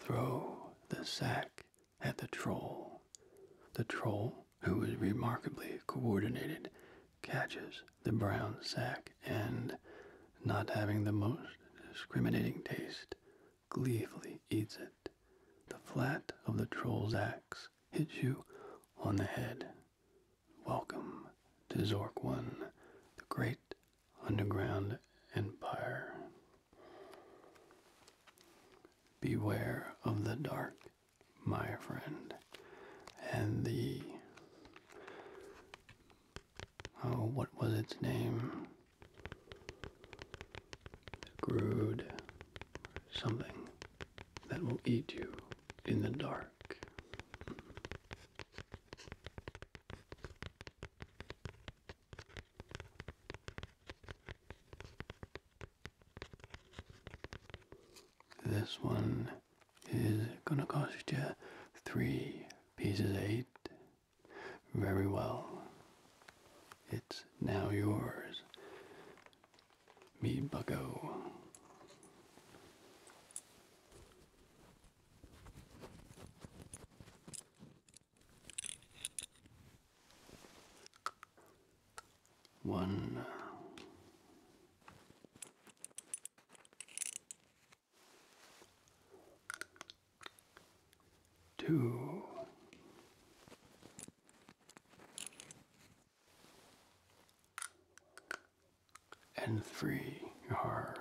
Throw the sack at the troll. The troll, who was remarkably coordinated catches the brown sack and, not having the most discriminating taste, gleefully eats it. The flat of the troll's axe hits you on the head. Welcome to Zork One, the great underground empire. Beware of the dark my friend. And the. Oh, what was its name? Grood. Something that will eat you in the dark. This one is gonna cost you three pieces eight. Very well. It's now yours. Me bucko. One Two. And three, Yarg.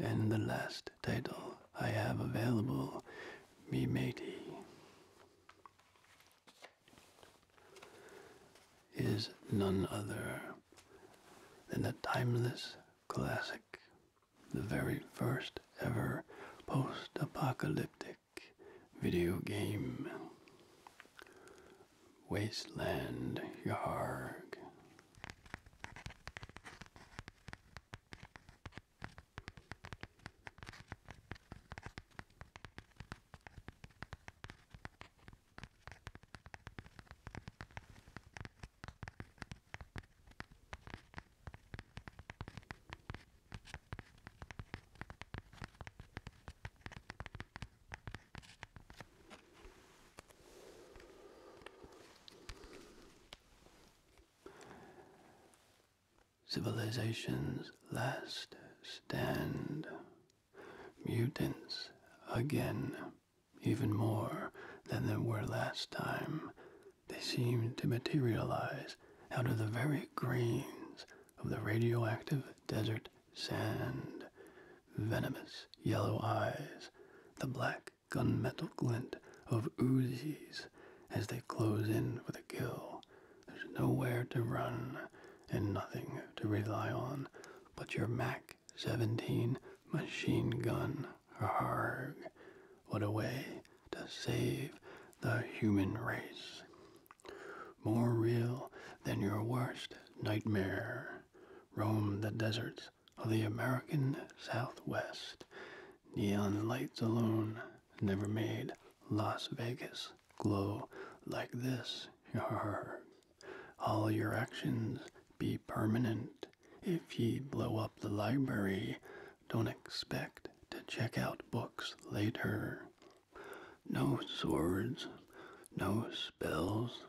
And the last title I have available, Me Matey is none other than the timeless classic, the very first ever post apocalyptic video game. Wasteland Yarg. Civilization's last stand mutants again, even more than there were last time. They seemed to materialize out of the very grains of the radioactive desert sand. Venomous yellow eyes, the black gunmetal glint of oozies as they close in for the kill, there's nowhere to run and nothing to rely on but your Mac 17 machine gun. Harg. What a way to save the human race. More real than your worst nightmare. Roam the deserts of the American Southwest. Neon lights alone never made Las Vegas glow like this. your heart. All your actions be permanent. If ye blow up the library, don't expect to check out books later. No swords, no spells,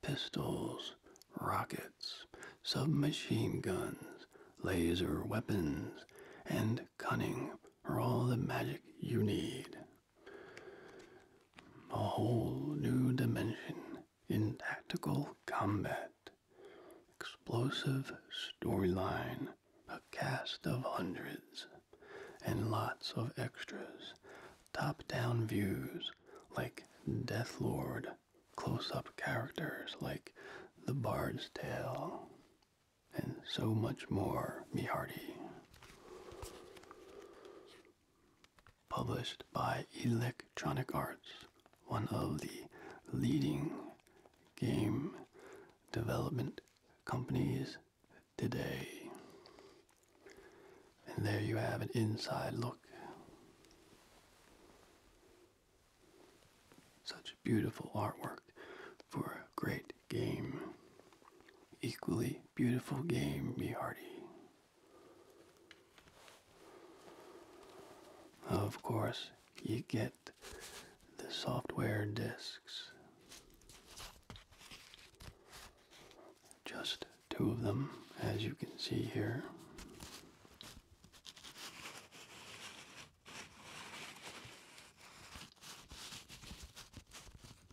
pistols, rockets, submachine guns, laser weapons, and cunning are all the magic you need. A whole new dimension in tactical combat. Explosive storyline, a cast of hundreds, and lots of extras. Top down views like Deathlord, close up characters like The Bard's Tale, and so much more, me hearty. Published by Electronic Arts, one of the leading game development companies today. And there you have an inside look. Such beautiful artwork for a great game. Equally beautiful game, be hearty. Of course, you get the software discs. Just two of them, as you can see here.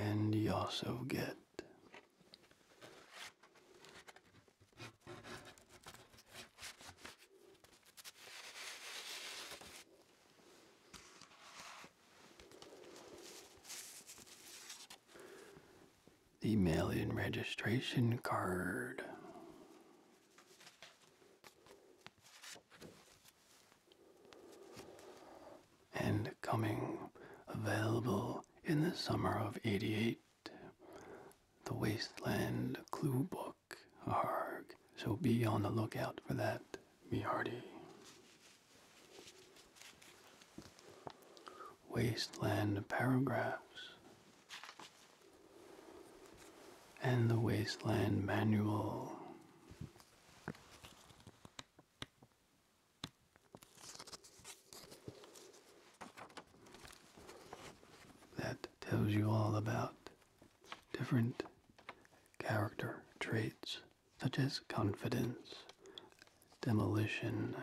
And you also get the mail in registration card. And coming available in the summer of 88 the Wasteland Clue Book. Arg. So be on the lookout for that, be hearty. Wasteland Paragraphs. And the Wasteland Manual that tells you all about different character traits such as confidence, demolition.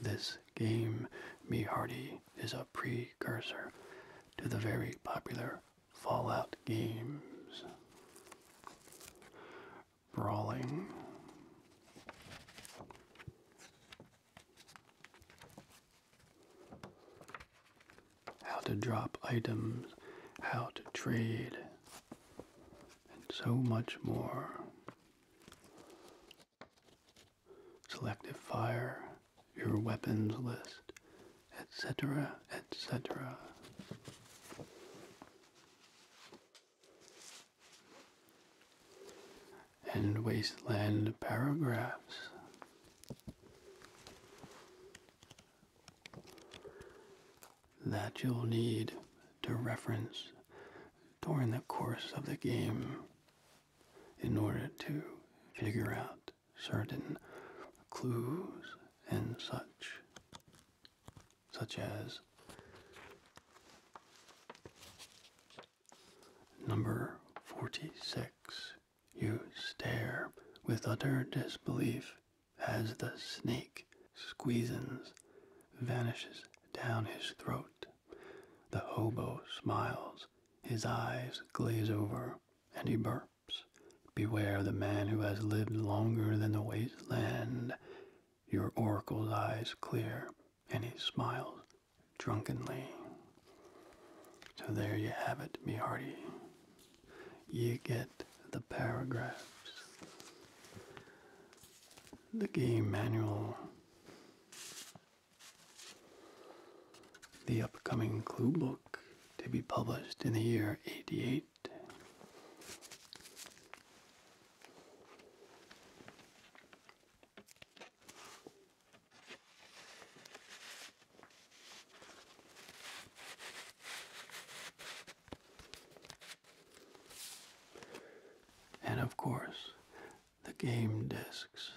This game, Me Hardy, is a precursor to the very popular Fallout games brawling. How to drop items, how to trade, and so much more. Selective fire, your weapons list, etc., etc and wasteland paragraphs. That you'll need to reference during the course of the game in order to figure out certain clues and such, such as Number 46. You stare with utter disbelief as the snake squeezes, vanishes down his throat. The hobo smiles, his eyes glaze over, and he burps. Beware the man who has lived longer than the wasteland. Your oracle's eyes clear, and he smiles drunkenly. So there you have it, me hearty. You get the paragraphs. The game manual. The upcoming clue book to be published in the year 88. And of course, the game discs.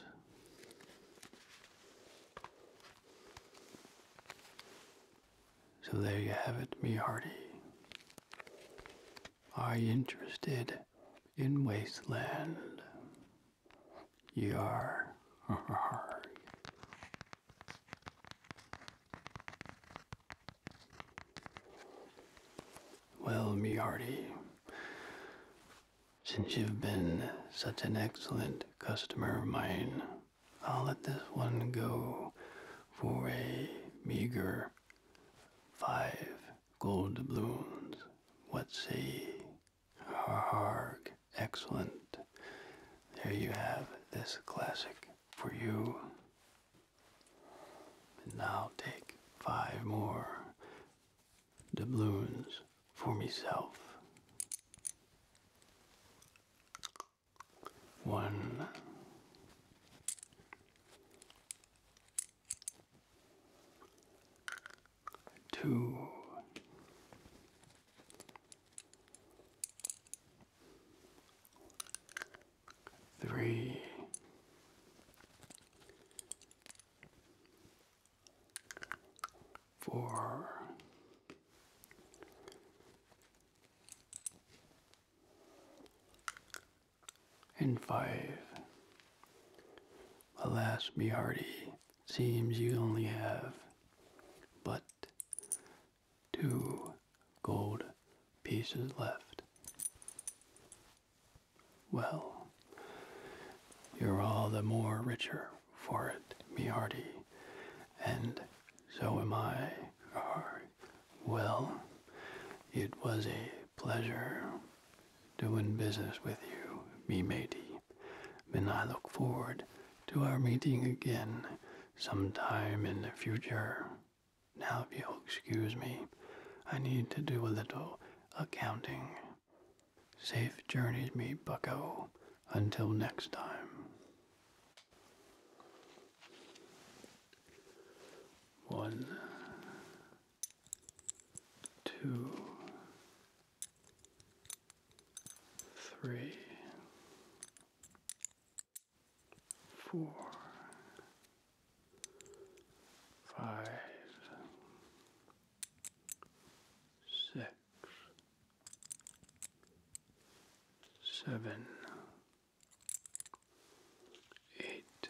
So there you have it, me hearty are you interested in wasteland. Yar. well, me hearty, since you've been such an excellent customer of mine, I'll let this one go for a meager five gold doubloons. What say? Harg, excellent. There you have this classic for you. And now take five more doubloons for myself. One, two, three, four and five. Alas, be hearty, seems you only have but two gold pieces left. Well, you're all the more richer for it, me hearty, and so am I. Well, it was a pleasure doing business with you, me matey. And I look forward to our meeting again sometime in the future. Now, if you'll excuse me, I need to do a little accounting. Safe journeys, me bucko. Until next time. One two, three, four, five, six, seven, eight.